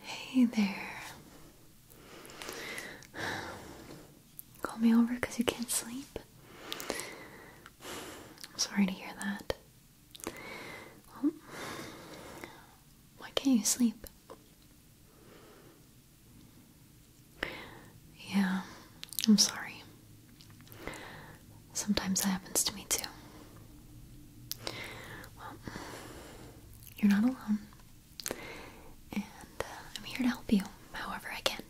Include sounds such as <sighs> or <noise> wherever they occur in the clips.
Hey there. Call me over because you can't sleep. I'm sorry to hear that. why can't you sleep? Yeah, I'm sorry. Sometimes that happens to me too. Well, you're not alone. And uh, I'm here to help you however I can.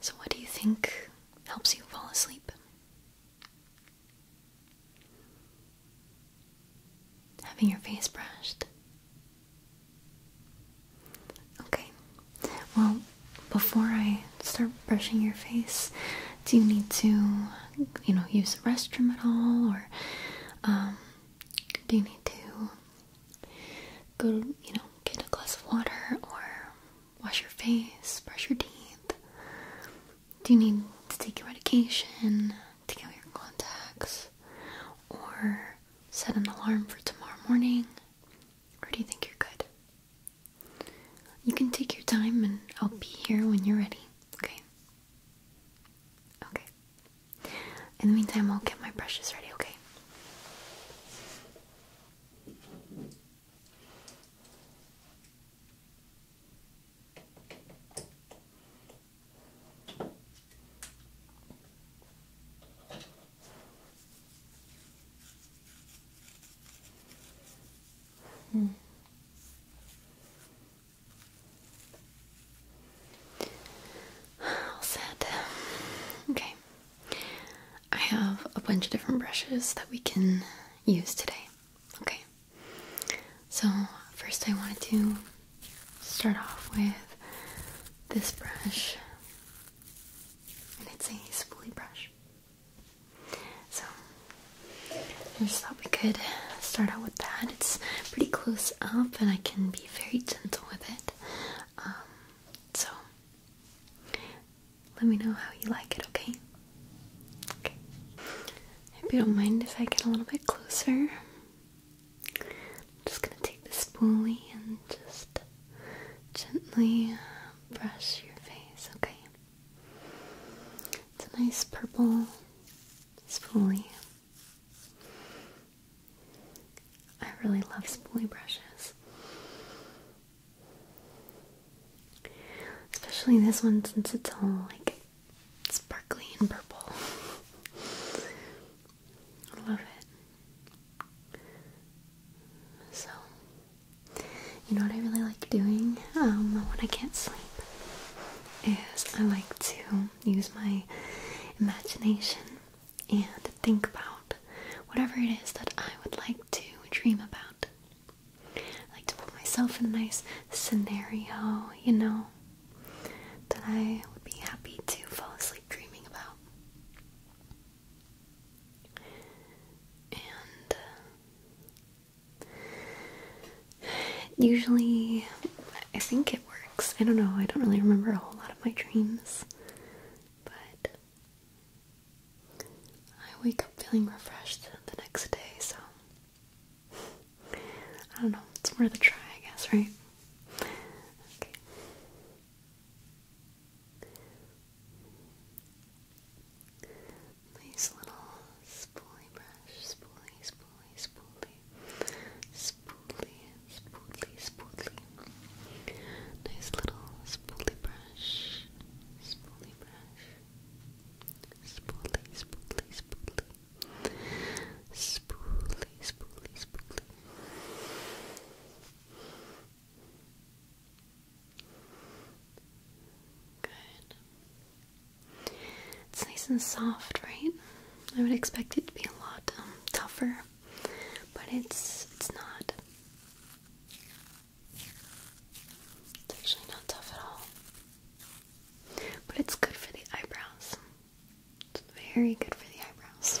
So, what do you think helps you fall asleep? Having your face brushed. Okay. Well, before I start brushing your face, do you need to, you know, use the restroom at all, or um, do you need to go, you know, get a glass of water, or wash your face, brush your teeth? Do you need to take your medication, take out your contacts, or set an alarm for tomorrow morning? Or do you think you're good? You can take your time and I'll be here when you're ready, okay? Okay. In the meantime, I'll get my brushes ready, okay? Hmm. All set. Okay. I have a bunch of different brushes that we can use today. Okay. So, first I wanted to start off with this brush. And it's a spoolie brush. So I just thought we could start out with that. It's pretty close up, and I can be very gentle with it. Um, so let me know how you like it, okay? If you don't mind if I get a little bit closer, I'm just gonna take this spoolie and just gently brush your face, okay? It's a nice purple spoolie. I really love spoolie brushes. Especially this one since it's all like sparkly and purple. <laughs> I love it. So you know what I really like doing um, when I can't sleep is I like to use my imagination and think about whatever it is that I would like to dream about. I like to put myself in a nice scenario, you know, that I would be happy to fall asleep dreaming about. And uh, Usually, I think it works. I don't know, I don't really remember a whole lot of my dreams, but I wake up feeling refreshed the next day, so I don't know, it's worth a try, I guess, right? Okay. Nice little spoolie brush, spoolie, spoolie, spoolie, spoolie, spoolie, spoolie. Nice little spoolie brush, spoolie brush, spoolie, spoolie, spoolie, spoolie, spoolie, spoolie. Good. It's nice and soft, right? I would expect it to be a lot um, tougher, but it's it's not. It's actually not tough at all. But it's good for the eyebrows. It's very good for the eyebrows.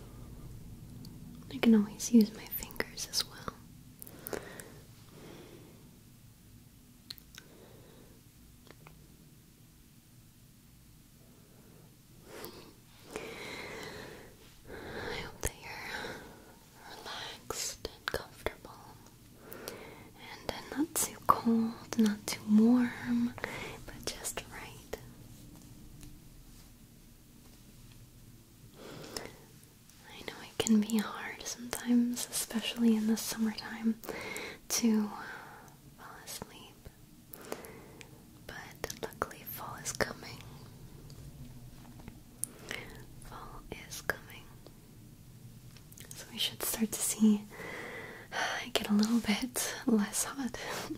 I can always use my fingers as well. I hope that you're relaxed and comfortable and uh, not too cold, not too warm, but just right. I know it can be hard sometimes, especially in the summertime, to fall asleep. But luckily, fall is coming. Fall is coming. So we should start to see <sighs> get a little bit less hot. <laughs>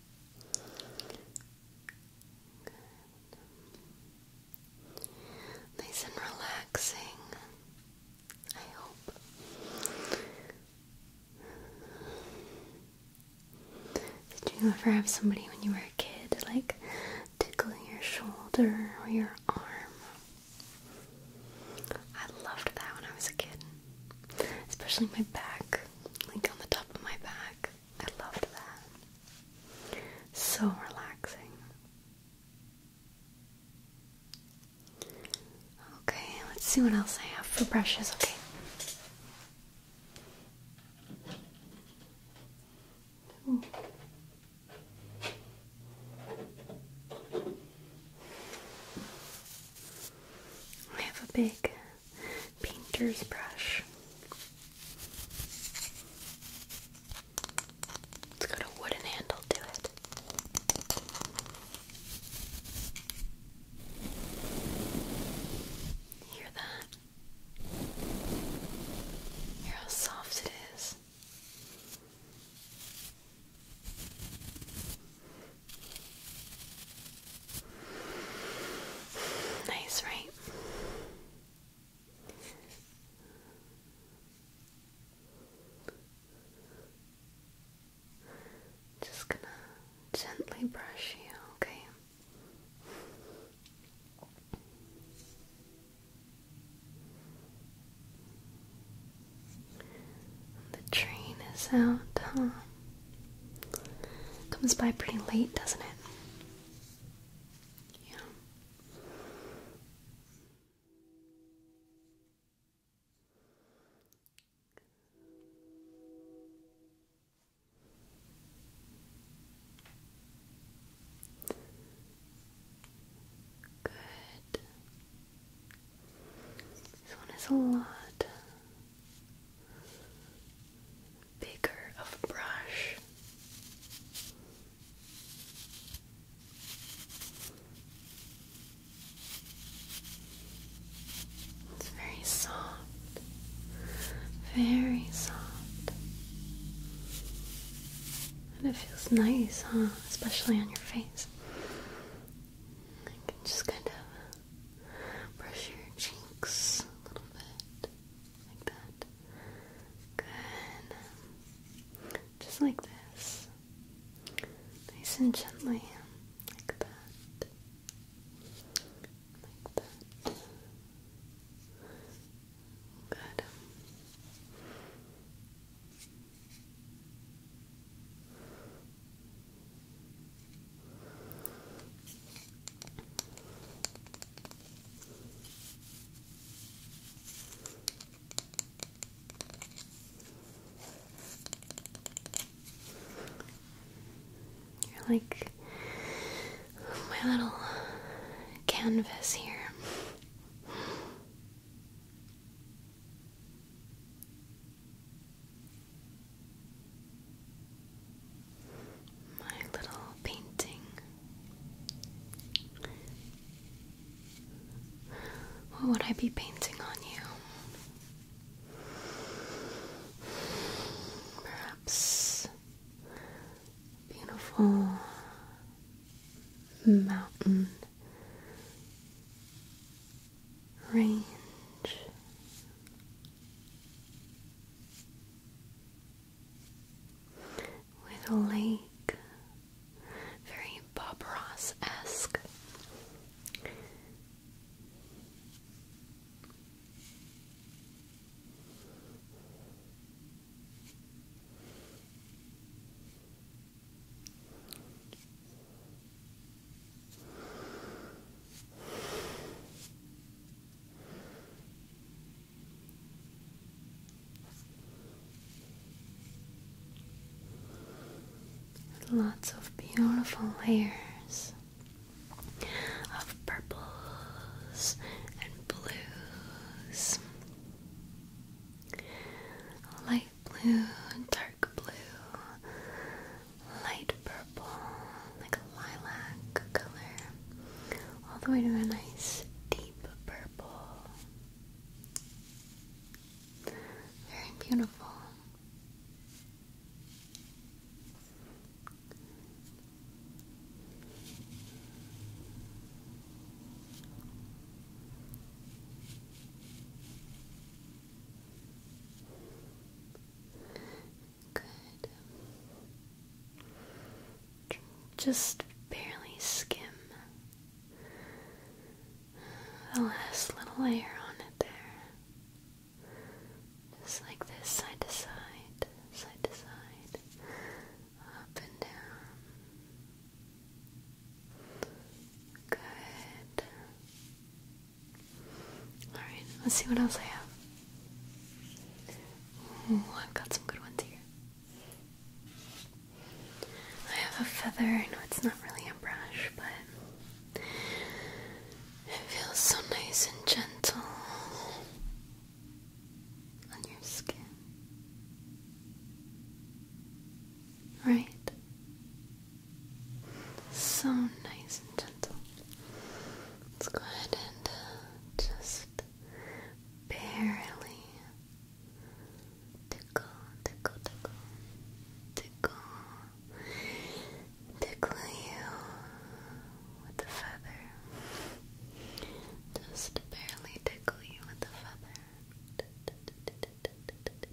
Nice and relaxing, I hope. Did you ever have somebody when you were a kid, like tickling your shoulder or your arm? I loved that when I was a kid, especially my back, like on the top of my back. I loved that. So relaxing. Okay, let's see what else I have for brushes, okay? I have a big painter's brush. It's got a wooden handle to it. Hear that? Hear how soft it is. Nice, right? Just gonna gently brush you, okay? The train is out, huh? Comes by pretty late, doesn't it? Yeah. Good. This one is a lot Baker of brush. It's very soft, very soft, and it feels nice, huh? Especially on your face. just kind of brush your cheeks a little bit. Like that. Good. Just like this. Nice and gently. Like that. Like that. Good. You're like my little canvas here. My little painting. What would I be painting on you? Perhaps beautiful mountain range. With a lake, very Bob Ross esque. Lots of beautiful layers of purples and blues, light blue, dark blue, light purple, like a lilac color, all the way to a nice deep purple. Very beautiful. Just barely skim the last little layer on it there. Just like this, side to side, side to side, up and down. Good. Alright, let's see what else I have. I've got some good ones here. I have a feather. I know it's not really a brush, but it feels so nice and gentle on your skin. Right? So nice and gentle. Let's go ahead and uh, just barely tickle, tickle, tickle, tickle, tickle you with the feather. Just barely tickle you with the feather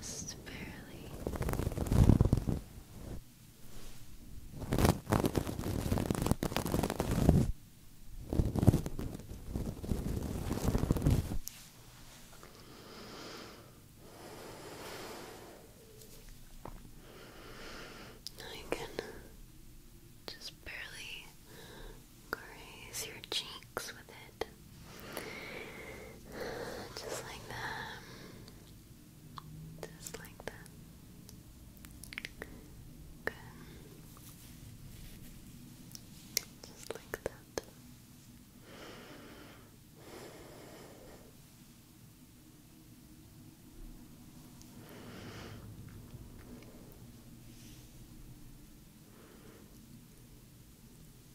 Just barely. I can just barely graze your cheeks with it. Just like that. Just like that. Good. Just like that.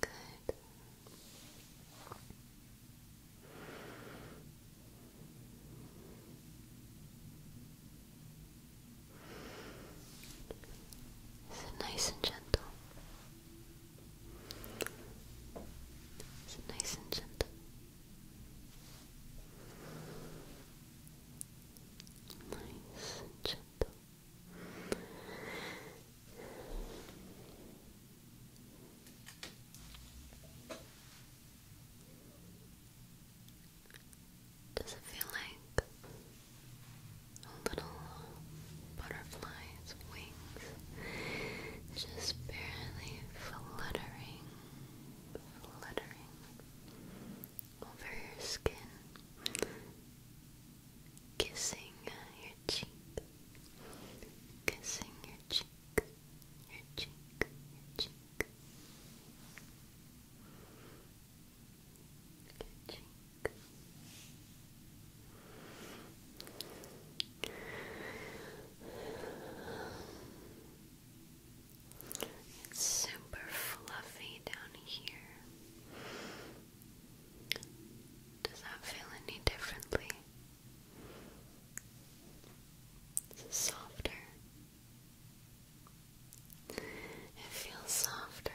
Good. Is it nice and gentle? Is it nice and gentle? Nice and gentle. Does it feel like little butterfly's wings just barely fluttering, fluttering over your skin, kissing your cheek? Kissing your cheek, your cheek, your cheek. Your cheek. It's super fluffy down here. Does that feel any differently? it softer? It feels softer. feels soft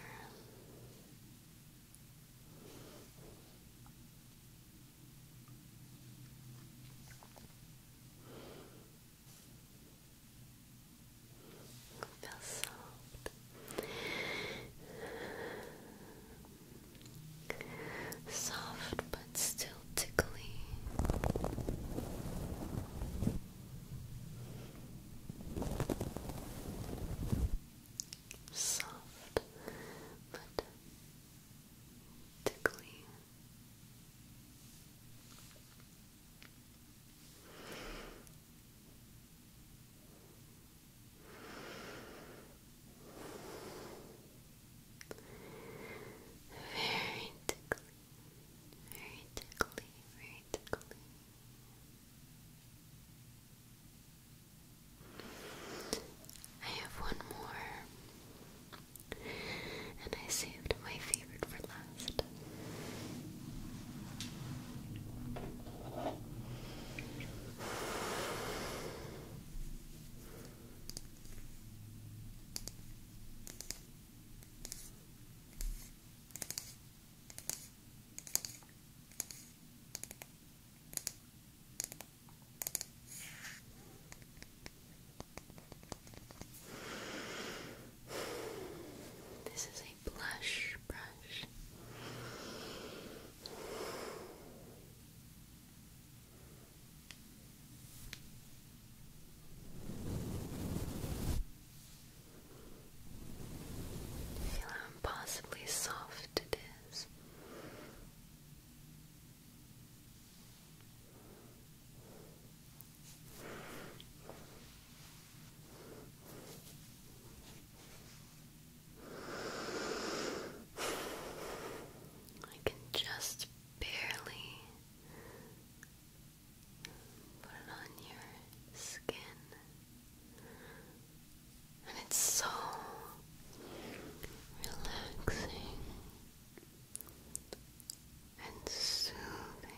soft but still tickly. Soft but tickly. Very tickly, very tickly, very tickly. I have one more, and I saved my favorite for last. This is a blush brush, Feel how impossibly soft it is. I can just barely put it on your skin. And it's so relaxing and soothing.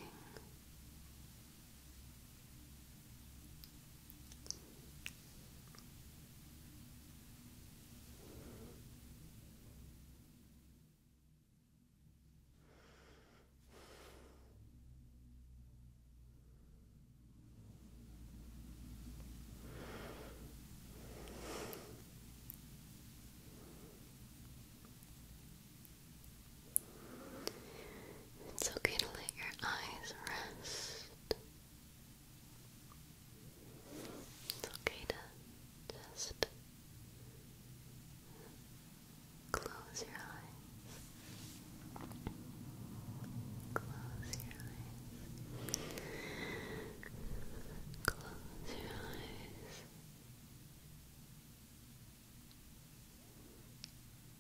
It's okay to let your eyes rest. It's okay to just close your eyes. Close your eyes. Close your eyes.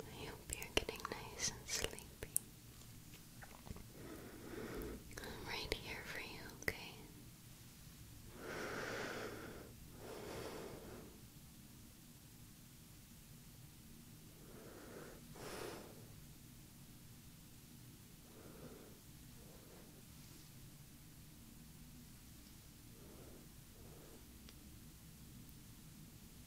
I hope you're getting nice and sleepy. I'm right here for you, okay?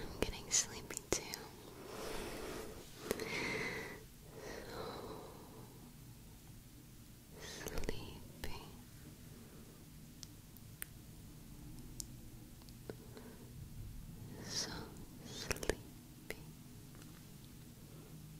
I'm getting sleepy too. sleepy. So sleepy.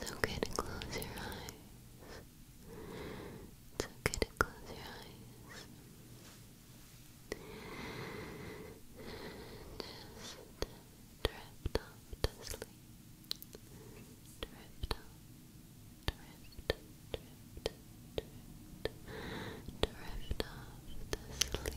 It's okay to close your eyes. It's okay to close your eyes. Just drift off to sleep. Drift off, drift, drift, drift, drift off to sleep.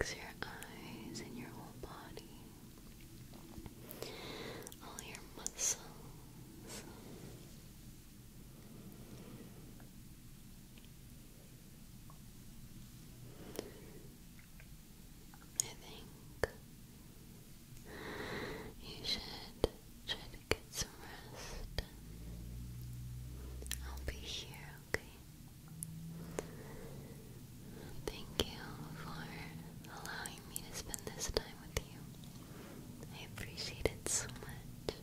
Relax your eyes and your whole body all your muscles. I think you should try to get some rest. I'll be here, okay? Thank you for allowing me to spend this time with you. I appreciate it so much.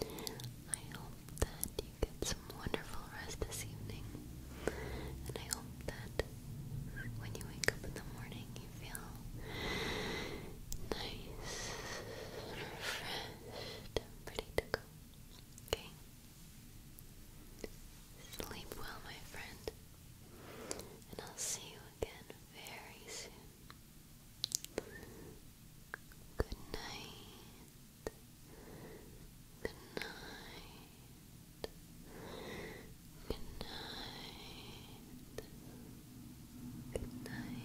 I hope that you get some wonderful rest this evening. And I hope that when you wake up in the morning, you feel nice refreshed and ready to go. Okay? Sleep well, my friend. And I'll see you again very soon. Good night. Good night. Good night. Good night. Good night.